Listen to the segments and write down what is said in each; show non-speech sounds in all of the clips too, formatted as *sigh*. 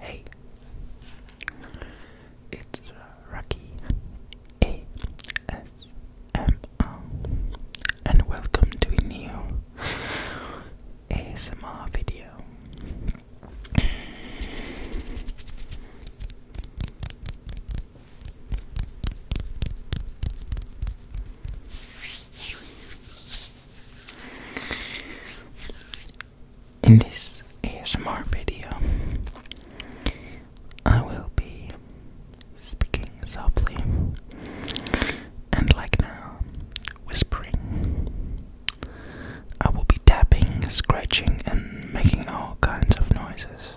Hey, it's uh, Rocky A S M O, and welcome to a new ASMR video. In this ASMR video, I will be speaking softly and, like now, whispering. I will be tapping, scratching, and making all kinds of noises.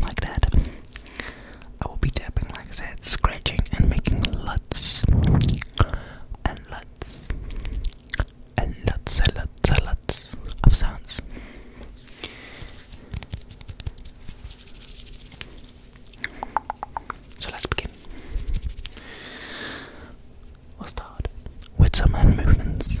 like that. I will be tapping, like I said, scratching and making lots and lots and lots of sounds. So let's begin. We'll start with some hand movements.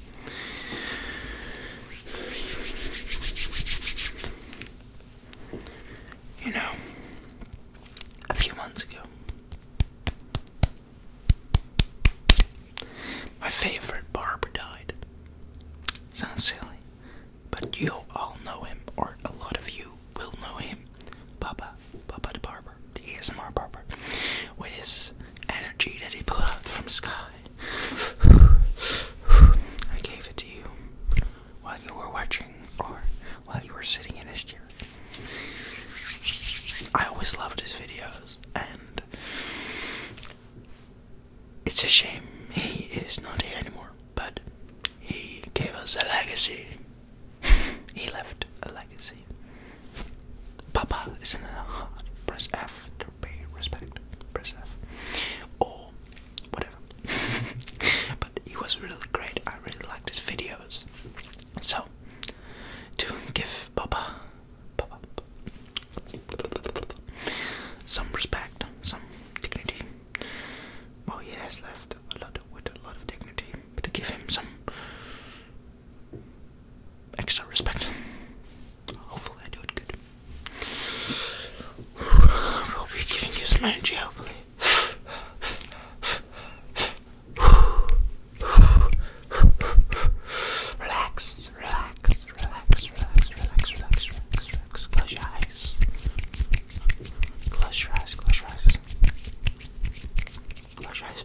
You know, a few months ago, my favorite barber died. Sounds silly, but you all know him, or a lot of you will know him. Papa, Papa the barber, the ASMR barber, with his energy that he put out from sky *sighs* I gave it to you while you were watching or while you were sitting in this chair. I always loved his videos, and it's a shame he is not here anymore, but he gave us a legacy. *laughs* he left a legacy. Papa is in a heart. Press M to respect. Press F. Or whatever. *laughs* but he was really great. I really liked his videos. So, to give Papa, some respect, some dignity. Well, he has left a lot with a lot of dignity, to give him some extra respect. Hopefully, I do it good. We'll be giving you some energy, hopefully. Relax, relax, relax, relax, relax, relax, relax, relax. Close your eyes. Close your eyes, close your eyes. Close your eyes.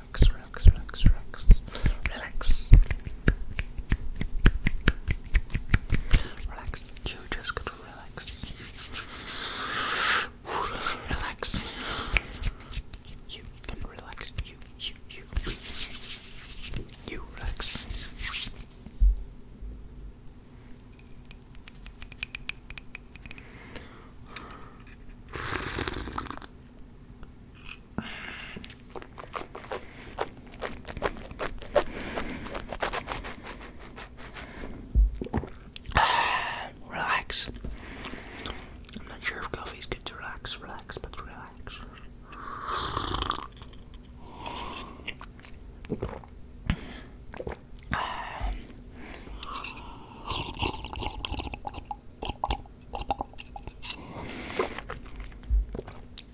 relax, relax, relax, relax, relax. Relax. You just gotta relax. Relax. You can relax. You, you, you. You relax. *sighs* relax. I'm not sure if coffee's good to relax, relax, but relax. *sighs* Um,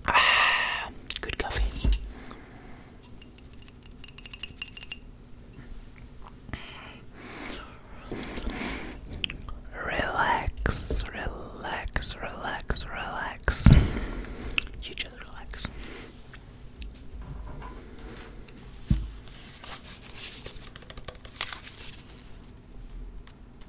Ah, good coffee. Relax, relax, relax, relax. You just relax.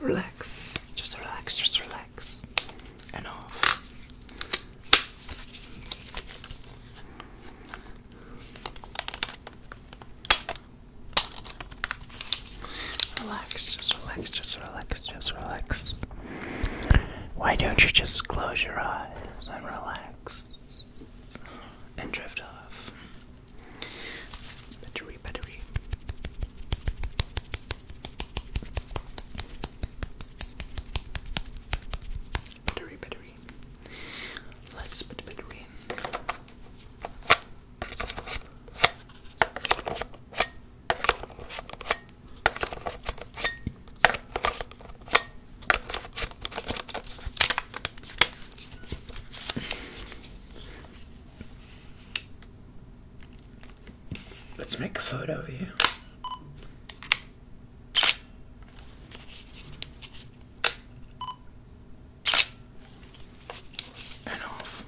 Relax, just relax, just relax, and off. Relax, just relax, just relax, just relax. Why don't you just close your eyes and relax and drift off? Battery, battery. Battery, battery. let Let's make a photo of you and off.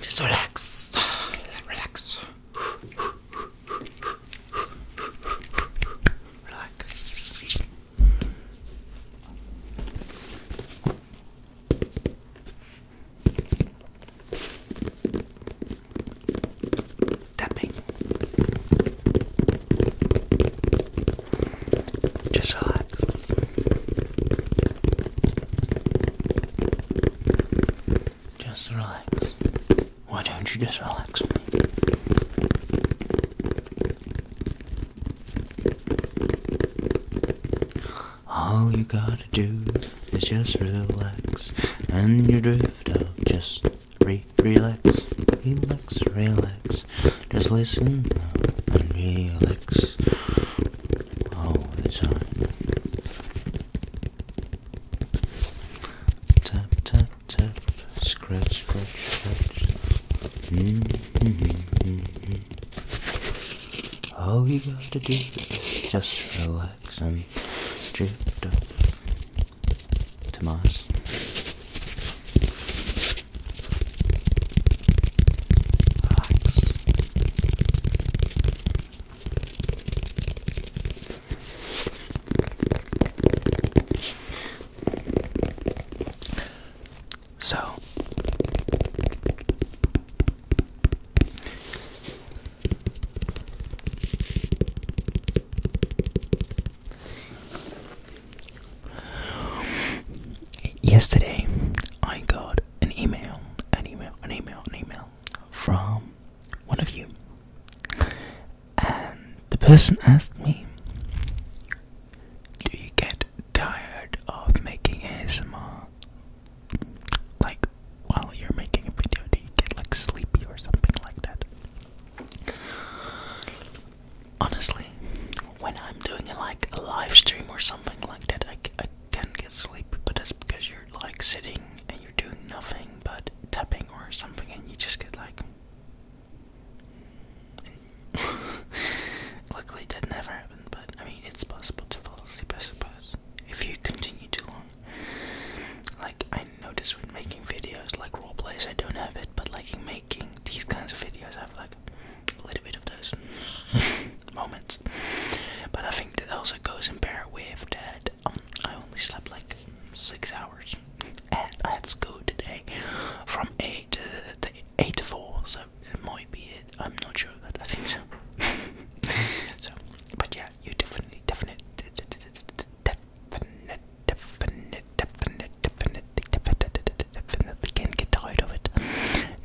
Just relax, relax, relax. Tapping. Just relax. Just relax. Why don't you just relax me? All you gotta do is just relax and you drift out. Just re relax, relax, relax. Just listen and relax all the time. Tap, tap, tap. Scratch, scratch, scratch. Hmm -hmm, hmm -hmm. All you gotta do is just relax and drift Mars. So, Yesterday, I got an email, an email, an email, an email from one of you, and the person asked me, Do you get tired of making ASMR? like while you're making a video, do you get like sleepy or something like that? Honestly, when I'm doing like a live stream or something like that, I, I can get sleepy, but it's because you're like sitting and you're doing nothing but tapping or something, and you just get like. *laughs* Luckily, that never happened, but I mean, it's possible to fall asleep, I suppose, if you continue too long. Like I noticed, when making videos like role plays I don't have it, but like in making these kinds of videos I have like a little bit of those *laughs* moments. But I think that also goes in pair with that um, I only slept like six hours. And I had school today from eight to, eight to four, so it might be it. I'm not sure that I think so. *laughs* so but yeah, yeah, you definitely, definitely, definitely, definitely, definitely, definitely, definitely can get tired of it.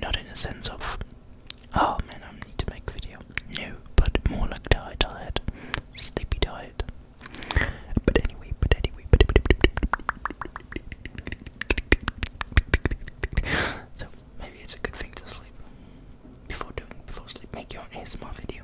Not in a sense of, oh man, I need to make a video. No, but more like tired, tired, sleepy tired. But anyway, but anyway, but anyway. So maybe it's a good thing to sleep. Before doing before sleep, make your own ASMR video.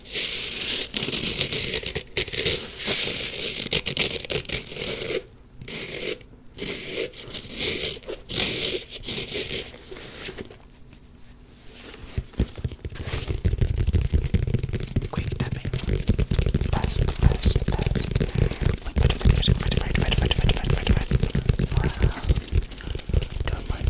Quick tapping. Fast, fast, fast. Wait, wait, wait, wait, wait, wait, wait, wait, wait, wait, wait, wait, wait. Wow. Don't mind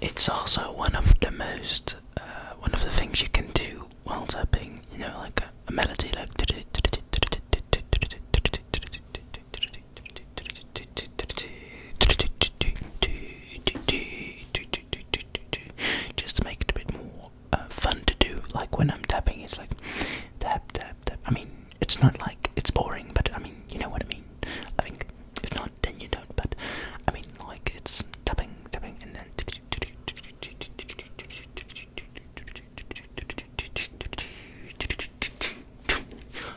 It's also one of the most, uh, one of the things you can do while tapping, you know, like a, melody like. Just to make it a bit more uh, fun to do, like when I'm tapping, it's like tap, tap, tap. I mean, it's not like it's boring, but I mean, you know what I mean. I think if not, then you don't. But I mean, like it's tapping, tapping, and then.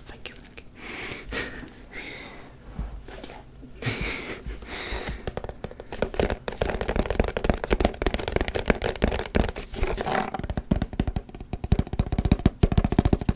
Thank you.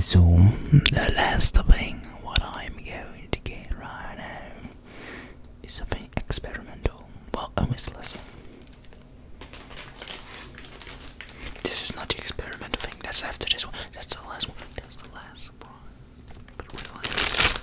so the last thing what I'm going to get right now is something experimental. Well, almost less. This is not the experimental thing. That's after this one. That's the last one. That's the last one. Relax.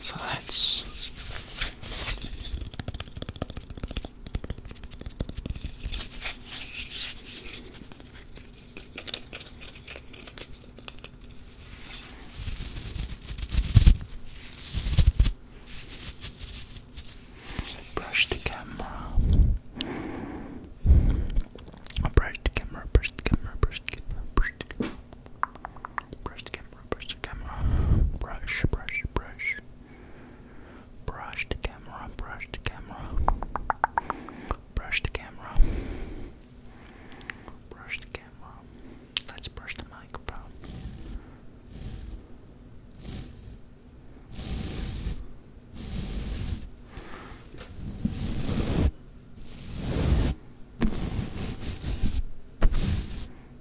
So that's brush the camera. brush the camera, brush the camera, brush the camera, brush the camera, brush the camera brush the camera, brush, brush, brush, brush the camera, brush the camera, brush the camera, brush the camera. Let's brush the microphone. Brush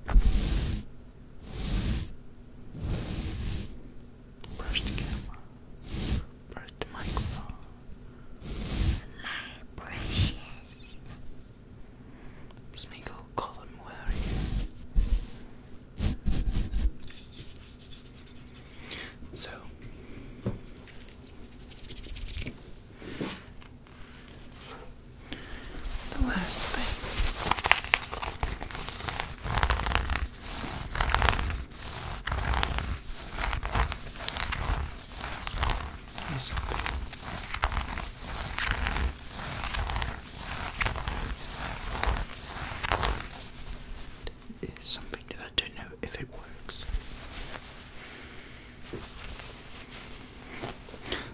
Brush the camera. Brush the microphone. My precious. Smeagol Colin, where are So, the last thing. Is something that I don't know if it works.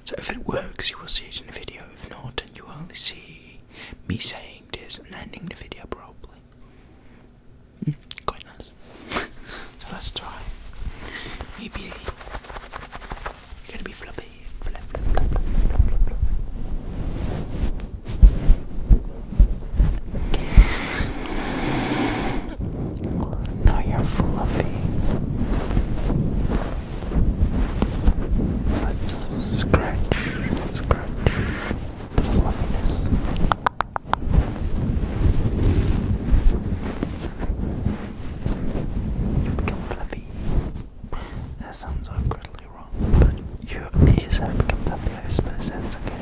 So if it works, you will see it in the video. If not, and you only see me saying this and ending the video probably. Hmm, quite nice. *laughs* so try. Maybe you're gonna be floppy. Now you're fluffy. Let's scratch, scratch the fluffiness. you become fluffy. That sounds awkwardly wrong, but you ears have become fluffy, I suppose that's okay.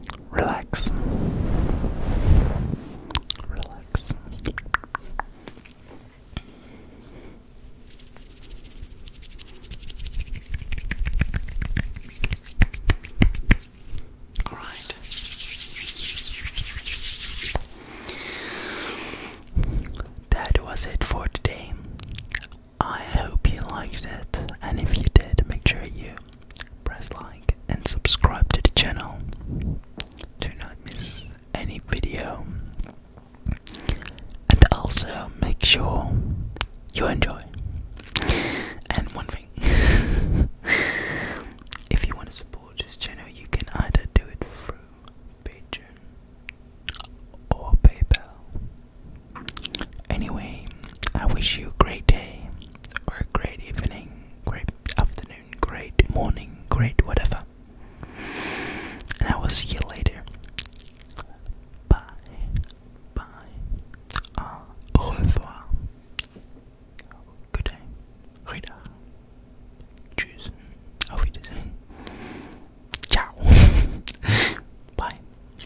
Relax. Relax. All right. That was it for today. I hope you liked it, and if you did, make sure you press like and subscribe to the channel to not miss any video. And also make sure you enjoy. And one thing *laughs* if you want to support this channel, you can either do it through Patreon or PayPal. Anyway, I wish you a great day, or a great evening, great afternoon, great morning, great whatever. And I will see you later. Bye. Bye. Au revoir. Good day. Rida. Tschüss. Ciao. *laughs* Bye.